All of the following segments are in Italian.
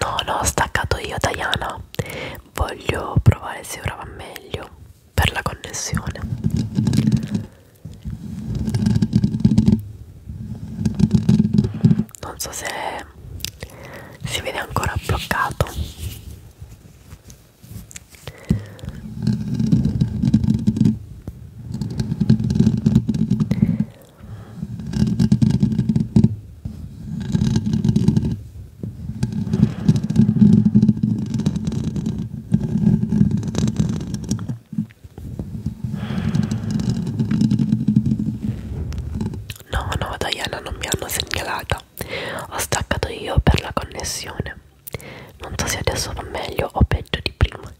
No, no, ho staccato io, Diana. Voglio provare se ora va meglio per la connessione. Non so se si vede ancora bloccato. No, no, Diana non mi hanno segnalata. Ho staccato io per la connessione non so se adesso va meglio o peggio di prima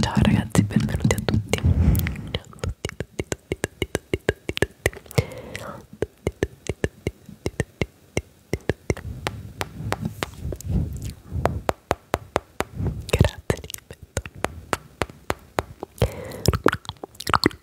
ciao ragazzi benvenuti a tutti ciao a tutti tutti tutti tutti tutti tutti tutti grazie ripeto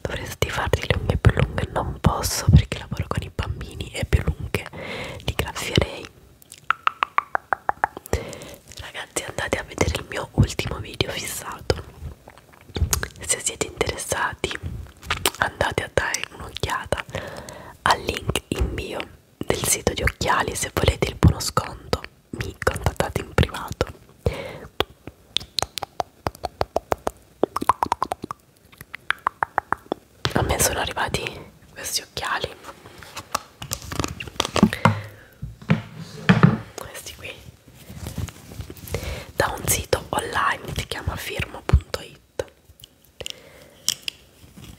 Dovresti farti le unghie più lunghe, non posso perché lavoro con i bambini e più lunghe li graffierei. Ragazzi andate a vedere il mio ultimo video fissato se siete interessati andate a dare un'occhiata al link in bio del sito di occhiali se volete il buono sconto mi contattate in privato a me sono arrivati questi occhiali questi qui da un sito online che si chiama firmo.it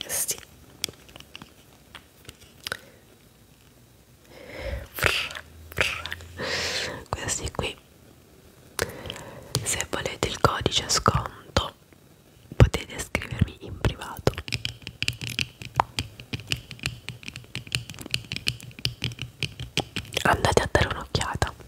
sì. questi qui se volete il codice sconto potete scrivermi in privato andate a dare un'occhiata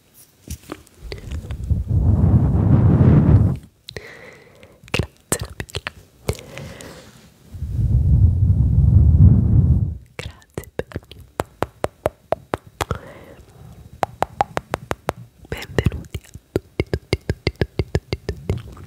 Grazie Benvenuti a tutti, tutti, tutti, tutti, tutti, tutti.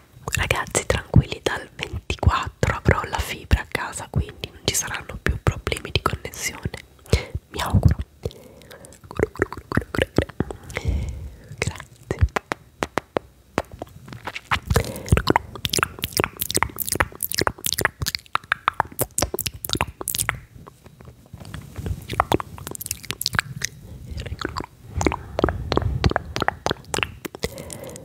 ragazzi tranquilli dal 24 avrò la fibra a casa quindi non ci saranno più problemi di connessione mi auguro grazie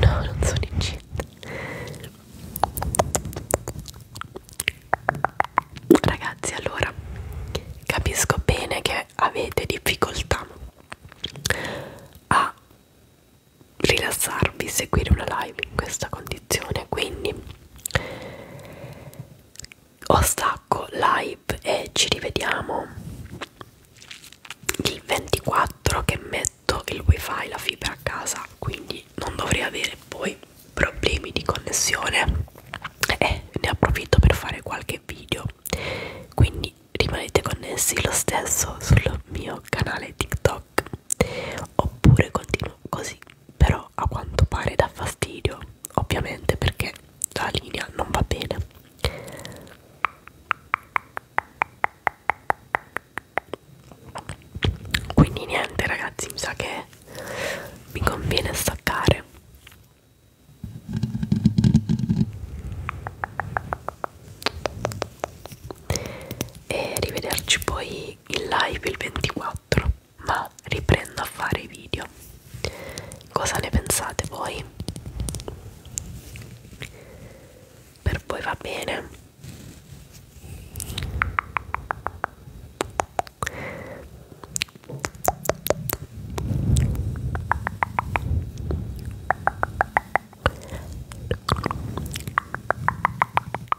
No, non sono incinta. Ragazzi, allora capisco bene che avete difficoltà a rilassarvi, seguire una live in questa condizione, quindi o stacco live e ci rivediamo il 24 che metto il wifi, la fibra a casa, quindi non dovrei avere poi problemi di connessione e ne approfitto per fare qualche video quindi rimanete connessi lo stesso sul mio canale tiktok TikTok oppure continuo così però a quanto pare dà fastidio ovviamente perché la linea non va bene quindi niente ragazzi mi sa che mi conviene staccare e rivederci poi tornerei in live il 24 ma riprendo a fare i video cosa ne pensate voi? per voi va bene?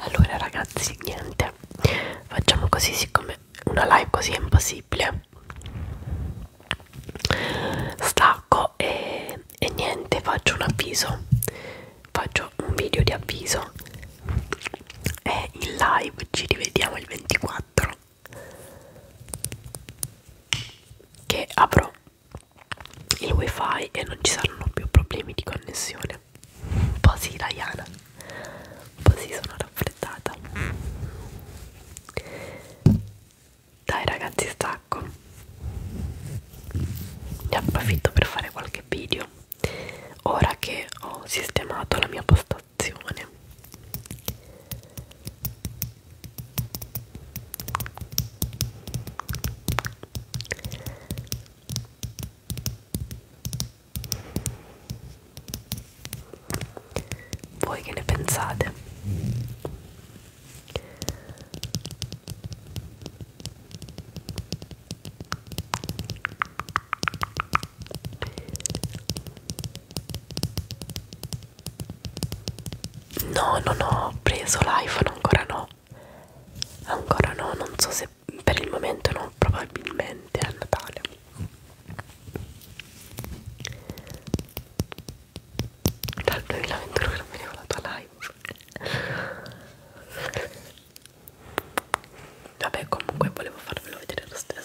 allora ragazzi niente facciamo così siccome una live così è impossibile stacco e, e niente faccio un avviso faccio un video di avviso e in live ci rivediamo il 24 che apro il wifi e non ci saranno più problemi di connessione un po' sì Diana un po' sì sono raffreddata dai ragazzi stacco ne approfitto per fare qualche video ora che ho sistemato la mia posta situazione voi che ne pensate? No, non ho preso l'iPhone, ancora no. Ancora no, non so se per il momento no, probabilmente a Natale. Dal 2021 che non vedevo la tua live. Vabbè, comunque volevo farvelo vedere lo stesso.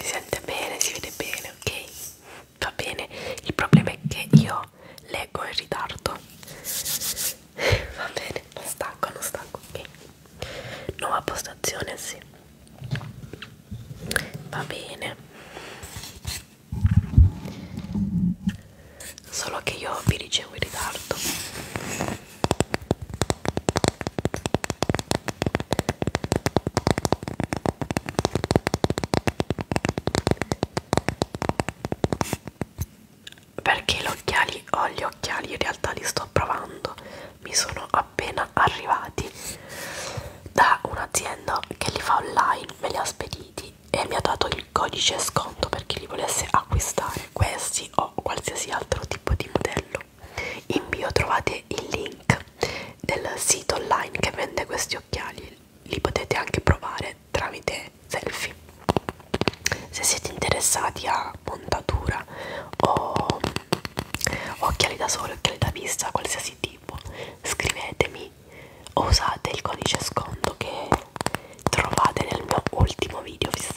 si sente bene, si vede bene, ok? Va bene, il problema è che io leggo in ritardo. Va bene, non stacco, non stacco, ok? Nuova postazione, sì. Va bene. Solo che io vi ricevo in ritardo perché gli occhiali ho oh, gli occhiali in realtà li sto provando mi sono appena arrivati da un'azienda che li fa online me li ha spediti e mi ha dato il codice sconto per chi li volesse acquistare questi o qualsiasi altro tipo di modello farlo. In bio trovate il link del sito online che vende questi occhiali, li potete anche provare tramite selfie. Se siete interessati a montatura o occhiali da sole, occhiali da vista, qualsiasi tipo, scrivetemi o usate il codice sconto che trovate nel mio ultimo video fissato.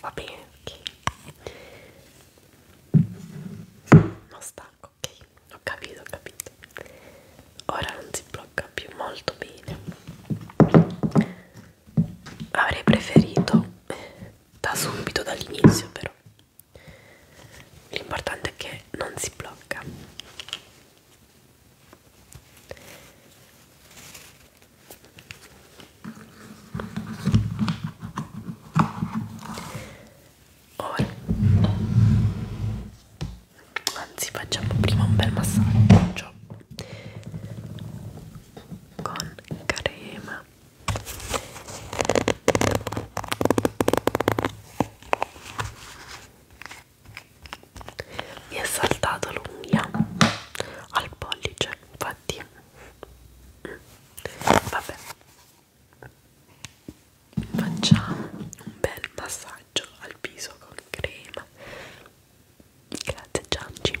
Va bene, ok. Ma stacco, ok. Ho capito, ho capito. Ora non si blocca più molto bene. Avrei preferito eh, da subito, dall'inizio, però l'importante è che non si blocca ora anzi facciamo prima un bel massaggio con crema mi è saltato l'unghia al pollice infatti mm. vabbè facciamo un bel massaggio al viso con crema grazie Gianci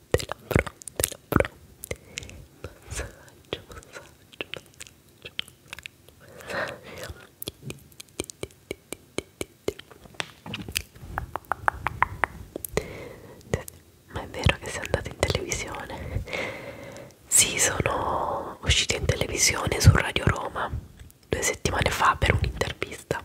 della fronte, la fronte, massaggio, massaggio, massaggio, massaggio. Ma è vero che sei andata in televisione? Sì, sono uscita in televisione su Radio Roma due settimane fa per un'intervista.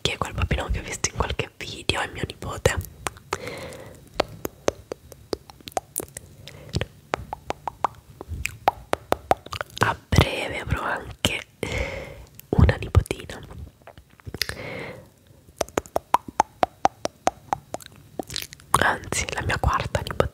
Che è quel papino che ho visto in qualche video? È mio nipote. A breve avrò anche avere una nipotina anzi la mia quarta nipotina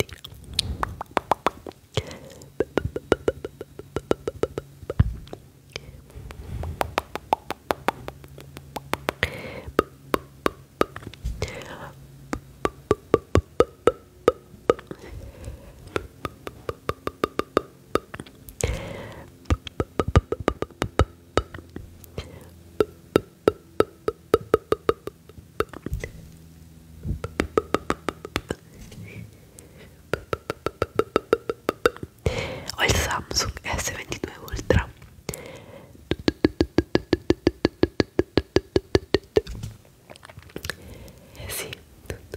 o el Samsung S22 Ultra eh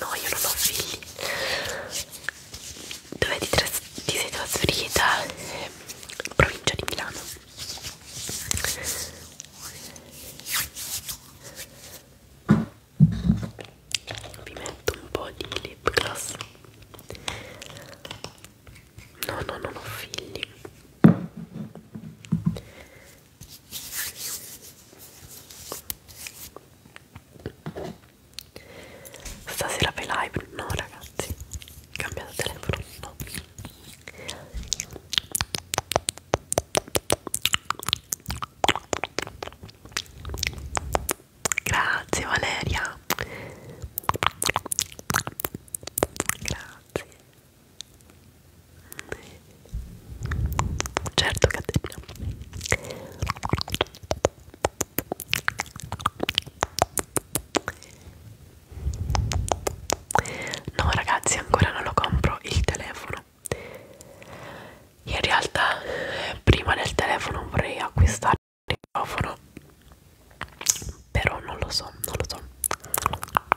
No, io non ho figli. Dove ti, ti sei trasferita? Eh, provincia di Milano. Vi metto un po' di lip gloss. No, no, non ho figli. Stasera fai live? No ragazzi, cambiato telefono, no Grazie Valeria Grazie Certo Caterina No ragazzi ancora non lo compro il telefono In realtà prima del telefono vorrei acquistare il microfono Però non lo so, non lo so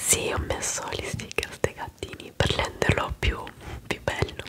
Sì, ho messo gli sticker dei gattini per renderlo più, più bello.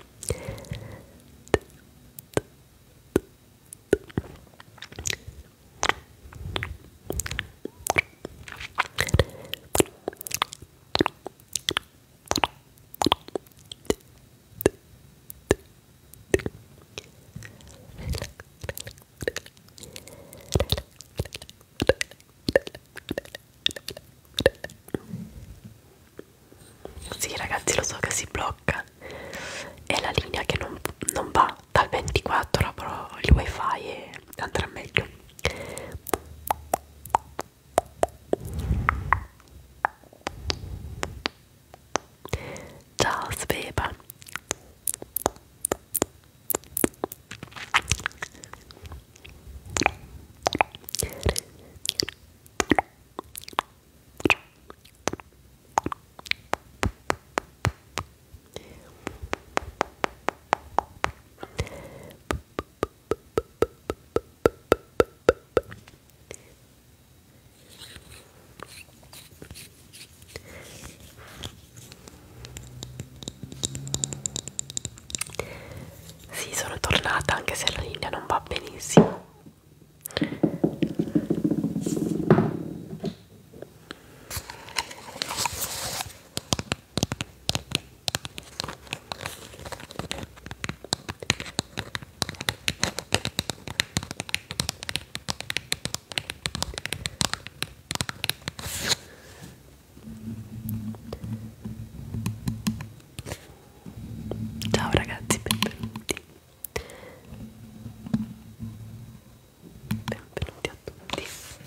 Sì ragazzi lo so che si blocca è la linea che non, non va dal 24 però il wifi e andrà meglio ciao Sveba sì, sono tornata anche se la linea non va benissimo Ciao ragazzi, benvenuti benvenuti a tutti sì.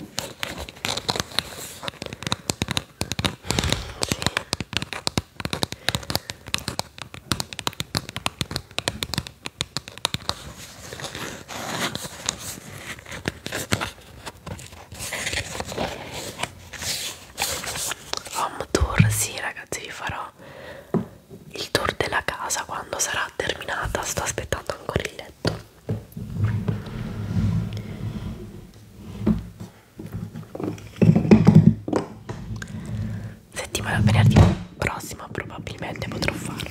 Home tour, sì ragazzi vi farò il tour della casa quando sarà terminata sto aspettando ancora il letto settimana venerdì prossima probabilmente potrò farvelo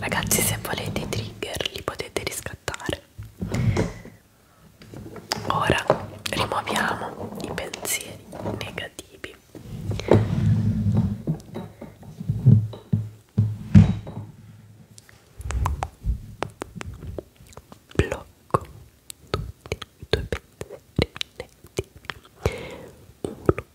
Ragazzi, se volete i trigger li potete riscattare. Ora rimuoviamo i pensieri negativi. Blocco tutti i tuoi pensieri negativi. Uno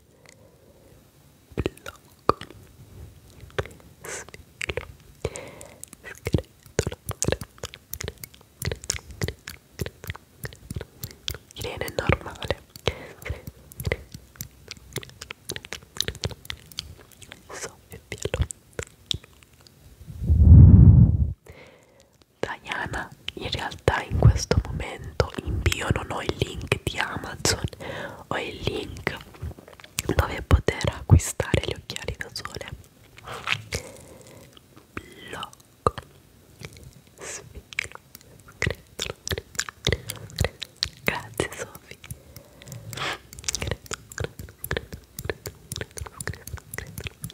blocco, sfilo, scretolo, Irene è normale, so e via Diana in realtà realtà in questo momento in bio non ho il link di Amazon, ho il link dove poter acquistare gli occhiali da sole. Blocco. Sfilo. Credo, credo, credo. Grazie Sofì. Soffio piano. Tacolo.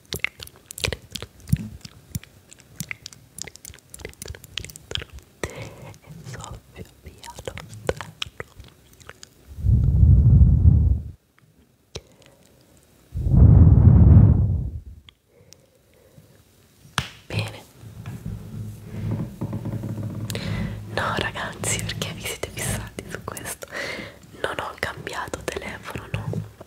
e soffio via lontano bene no ragazzi perché vi siete fissati su questo non ho cambiato telefono no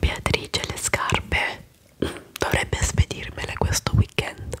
Beatrice le scarpe dovrebbe spedirmele questo weekend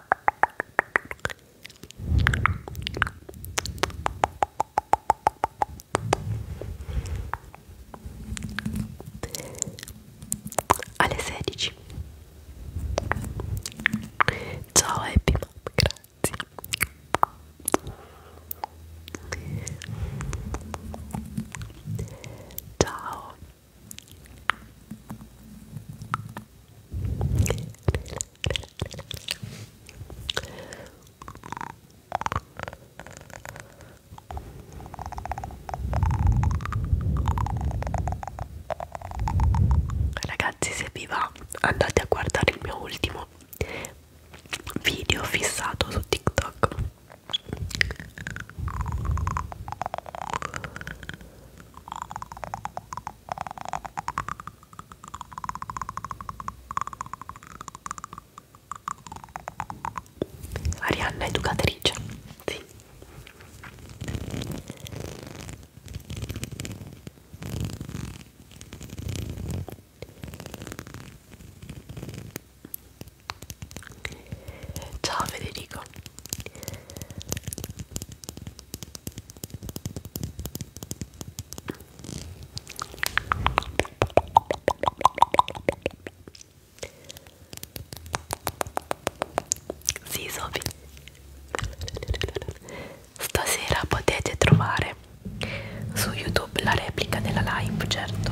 alle 16 ciao Happy Mom grazie ciao Ragazzi, se vi va, andate a guardare il mio ultimo video fissato su TikTok. Arianna educatrice, sì. Ciao Federico. Sì, Sophie. Stasera potete trovare su YouTube la replica della live, certo.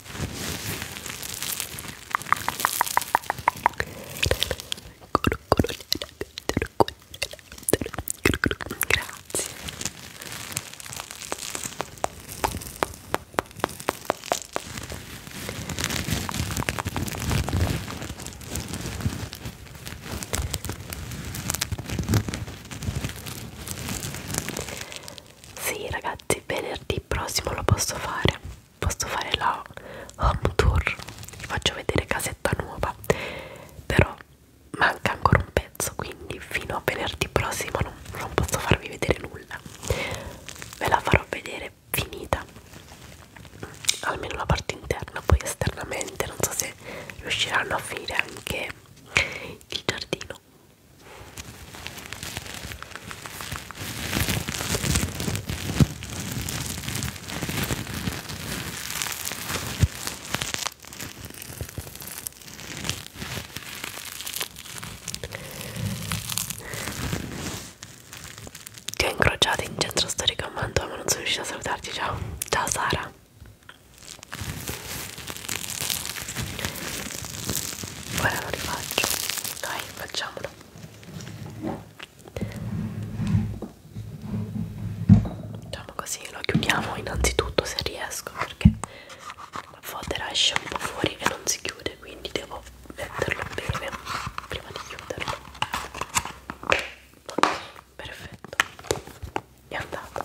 Grazie. Sì ragazzi, venerdì venerdì prossimo lo posso fare posso fare la home tour vi faccio vedere casetta nuova però manca ancora un pezzo quindi fino a venerdì prossimo non, non posso farvi vedere nulla ve la farò vedere finita almeno la parte interna poi esternamente non so se riusciranno a finire anche il giardino ti ho incrociato in centro storico a Mantova ma non sono riuscita a salutarti, ciao Ciao Sara Ora lo rifaccio Dai facciamolo facciamo così lo chiudiamo innanzitutto se riesco perché la fodera esce un po' fuori e non si chiude quindi devo metterlo bene prima di chiuderlo ok perfetto è andato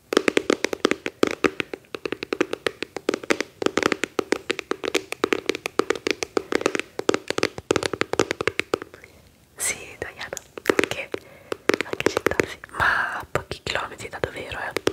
Sì, italiana, anche, anche città, sì. ma a pochi chilometri da dove ero, eh.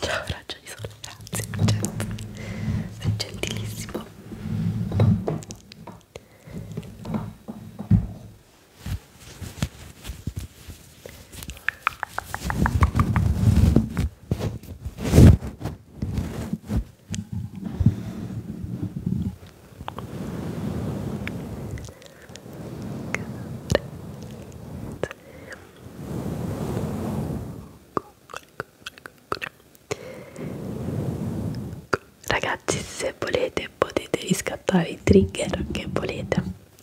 Ciao raggia di sole, grazie, certo. sei gentilissimo. Ragazzi, se volete potete riscattare i trigger che volete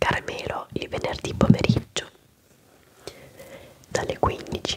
Carmelo il venerdì pomeriggio dalle 15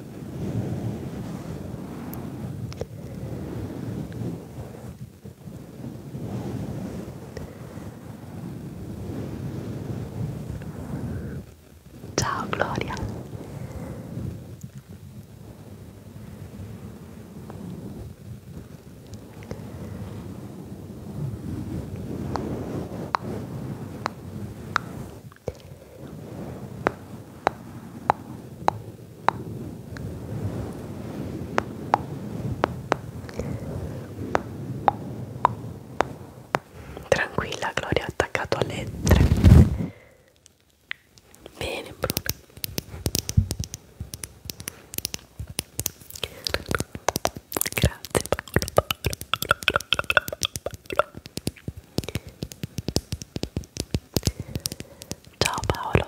Ciao Gloria. Tranquilla, Gloria, attaccato alle tre. Bene, Bruno. Grazie, Paolo. Paolo, Paolo, Paolo, Paolo. Ciao Paolo.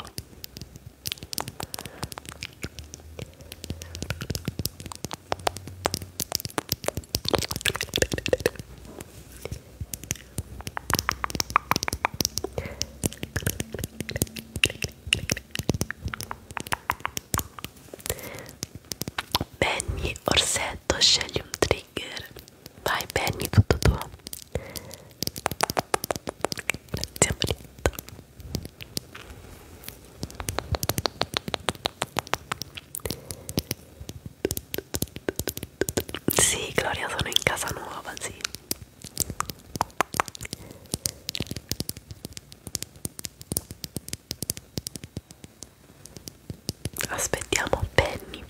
Benny Orsetto scegli un trigger Vai Penny, tutto tuo. Grazie Marito. Sì, Gloria, sono in casa nuova, sì. Aspettiamo Penny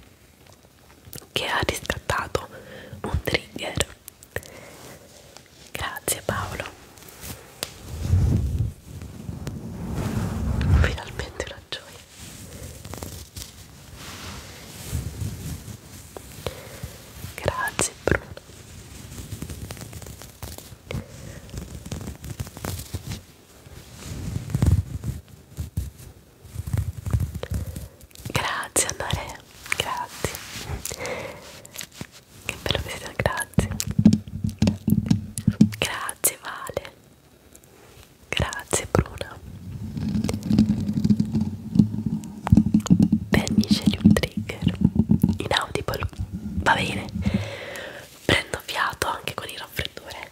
che ha riscattato un trigger grazie Paolo finalmente una gioia grazie Bruno Grazie Andrea, grazie. Che bello che siete, grazie. Grazie Vale. Grazie Bruna. Penny scegli un trigger. Inaudible. Va bene. Prendo fiato anche con il raffreddore.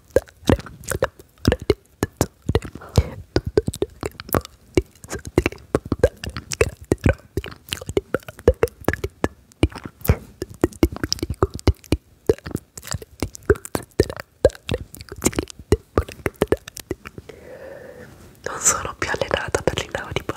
non sono più allenata per l'inaudible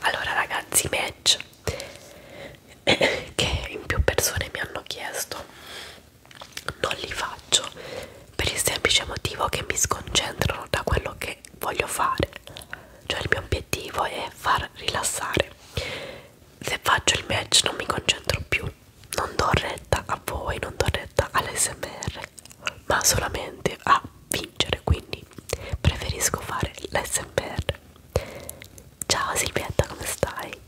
allora ragazzi match che in più persone mi hanno chiesto non li faccio per il semplice motivo che mi sconcentrano da quello che voglio fare cioè il mio obiettivo è far rilassare se faccio il match non mi concentro più non do retta a voi, non do retta all'SMR, ma solamente a vincere, quindi preferisco fare l'SMR. Ciao Silvietta, come stai?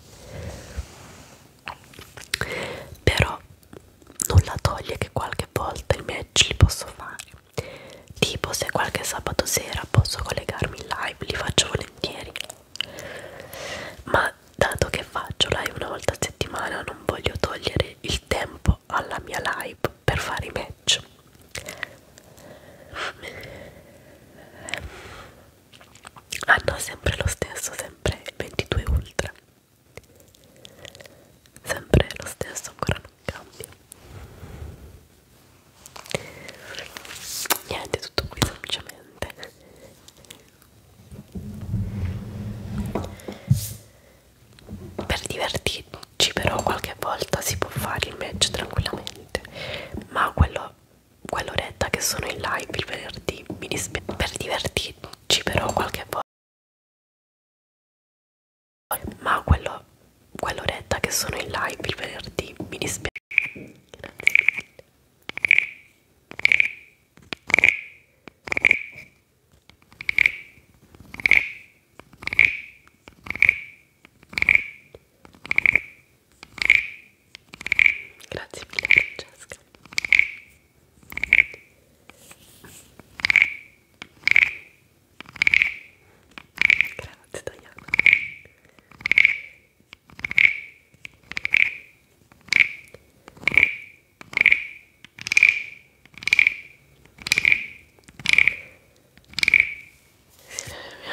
Però nulla toglie che qualche volta i match li posso fare. Tipo se qualche sabato sera posso collegarmi in live, li faccio volentieri. Ma dato che faccio live una volta a settimana non voglio togliere il tempo alla mia live per fare i match hanno ah sempre lo stesso sempre 22 ultra sempre lo stesso ancora non cambia niente tutto qui semplicemente per divertirci però qualche volta si può fare il match tranquillamente, ma quello quell'oretta che sono in live il venerdì mi dispiace. Per divertirci però qualche volta ma quello quell'oretta che sono in live il venerdì mi dispiace. Grazie. Grazie mille Francesca. Grazie Diana.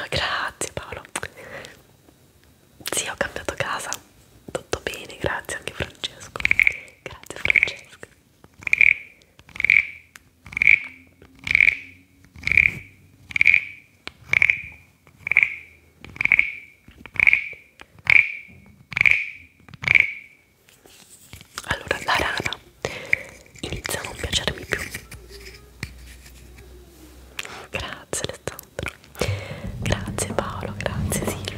Grazie Paolo. Sì, ho cambiato casa. Tutto bene, grazie anche Francesco. Grazie Francesco. Allora la rana inizia a non piacermi più. Grazie Alessandro. Grazie Paolo, grazie Silvia.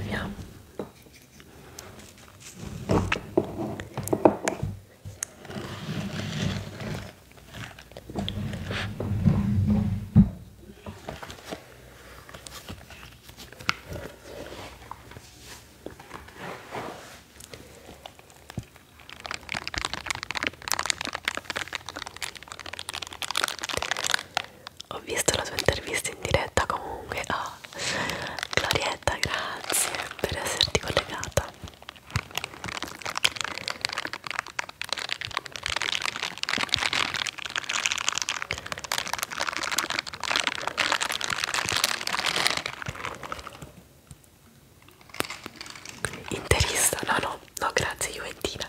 Ho visto la tua intervista in diretta comunque a oh. Glorietta, grazie per esserti collegata. Interista, no, no, no, grazie, Juventina.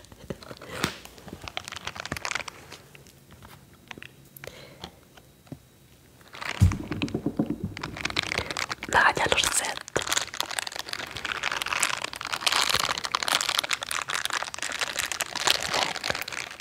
Nadia Lorsetto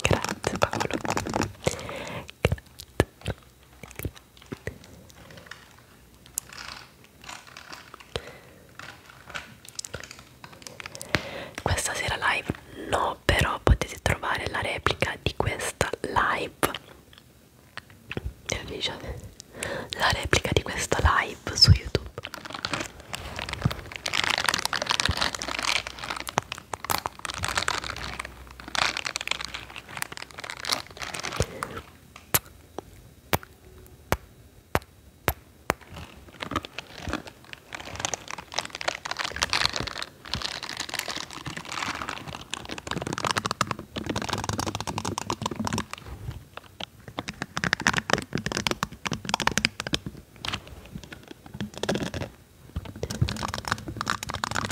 Grazie Paolo. Grazie. Questa sera live no, però potete trovare la replica di questa live la replica di questa live su youtube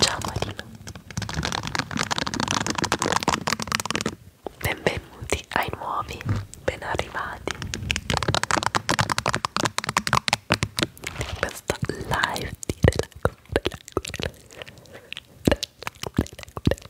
Ciao Marino Benvenuti ai nuovi ben arrivati in questa live di relax, relax, relax, relax, relax, relax,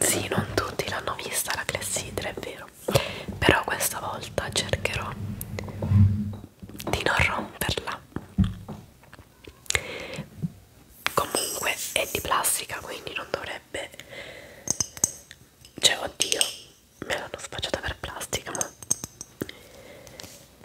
Sì, non tutti l'hanno vista la clessidra, è vero. Però questa volta cercherò di non romperla. Comunque è di plastica, quindi non dovrebbe... Cioè, oddio, me l'hanno sfacciata per plastica, ma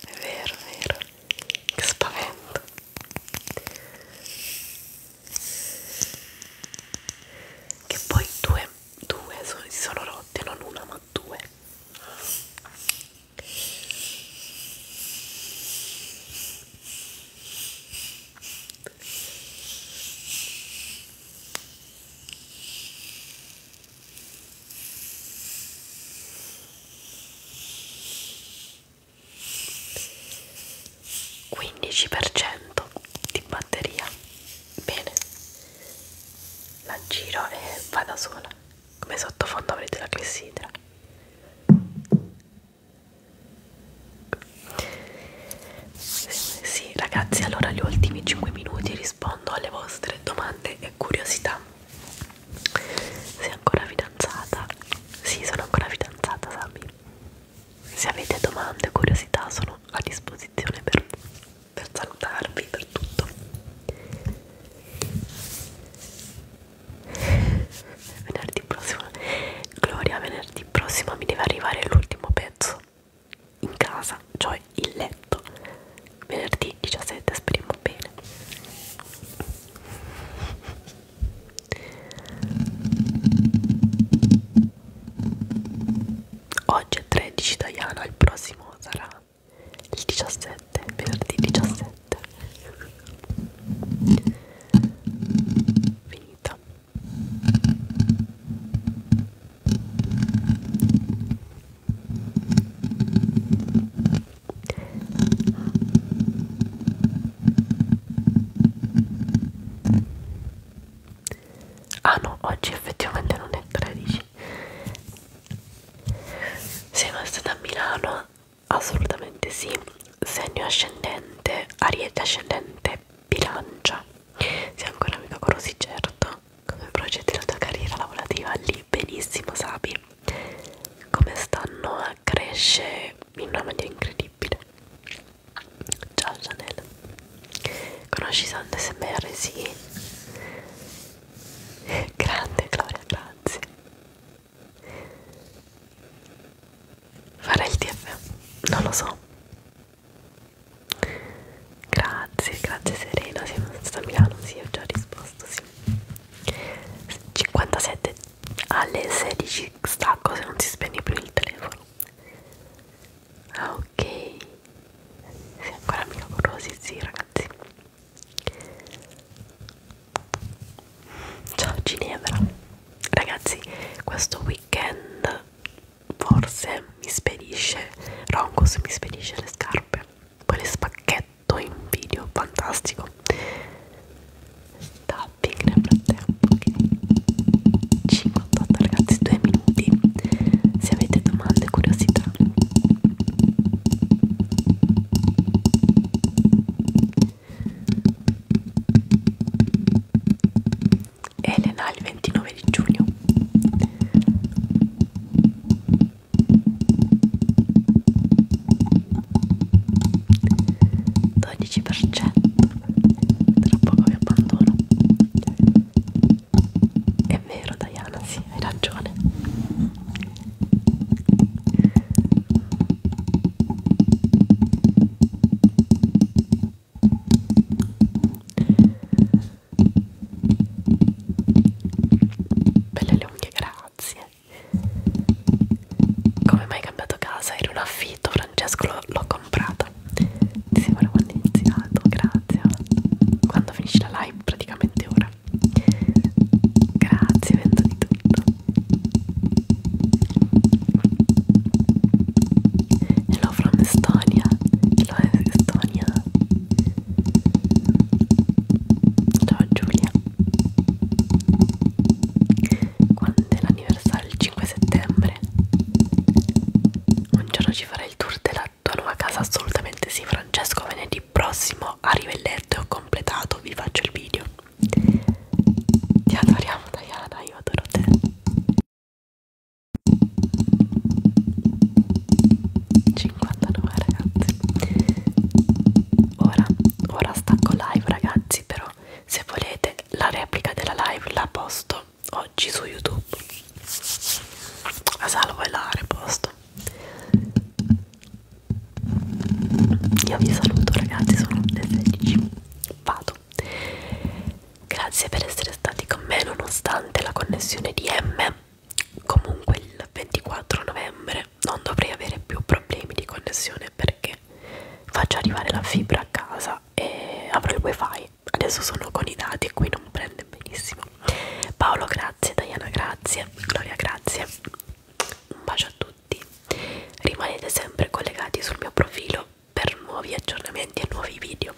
È vero, è vero. Che spavento. Che poi due, due si sono rotte, non una ma due. 15% di batteria bene la giro e va da sola come sottofondo avrete la clessidra sì ragazzi allora gli ultimi 5 minuti rispondo rispondo alle vostre domande e curiosità. Sei ancora fidanzata? Sì, sono ancora fidanzata, Sami. Se avete domande o curiosità sono a disposizione per, per salutarvi, per tutto. Venerdì prossimo, Gloria, venerdì prossimo mi deve arrivare l'ultimo pezzo in casa, cioè il letto, venerdì 17, speriamo bene. Oggi è 13 Diana, il prossimo sarà il 17, venerdì 17. Finita. Ah no, oggi effettivamente non è 13. Sei mai stata a Milano? Assolutamente sì. Segno ascendente, ariete ascendente, bilancia. Sei ancora amica con Rosy, certo come progetti la tua carriera lavorativa lì benissimo Sabi come stanno cresce in una maniera incredibile ciao Chanel conosci Sand SMR? sì grande Gloria grazie fare il TF non lo so Grazie, grazie Serena, sei stata a Milano, sì, ho già risposto, sì. 57 alle 16 stacco se non si spegne più il telefono. Ah ok, sei ancora amica con Rosy, sì ragazzi. Ciao Ginevra. Ragazzi, questo weekend forse mi spedisce Roncos mi spedisce le scarpe poi le spacchetto in video fantastico tapping nel frattempo ok 58 ragazzi 2 minuti se avete domande curiosità Elena il 29 29 di giugno dodici per cento tra poco mi abbandono è vero Diana sì hai ragione Belle le unghie, grazie. Come mai hai cambiato casa? Era un affitto, Francesco l'ho comprata. Ti sembra quando è iniziato, grazie. Quando finisci la live, praticamente ora. Grazie, vendo di tutto. Hello from Estonia. Hello Estonia. Ciao Giulia Quando è l'anniversario? Il 5 settembre? Un giorno ci farai il tour della tua nuova casa? Assolutamente sì Francesco venerdì prossimo a Rivelletto ho completato, vi faccio il video Ti adoriamo Diana, io adoro te 59 ragazzi ora, ora stacco live ragazzi però se volete la replica della live la posto oggi su youtube la salvo e la reposto io vi saluto ragazzi sono le 16 vado grazie per essere stati con me nonostante la connessione di M comunque il 24 novembre non dovrei avere più problemi di connessione perché faccio arrivare la fibra a casa e avrò il wifi adesso sono con i dati qui non prende benissimo Paolo grazie Diana grazie Gloria grazie un bacio a tutti rimanete sempre collegati sul mio profilo per nuovi aggiornamenti e nuovi video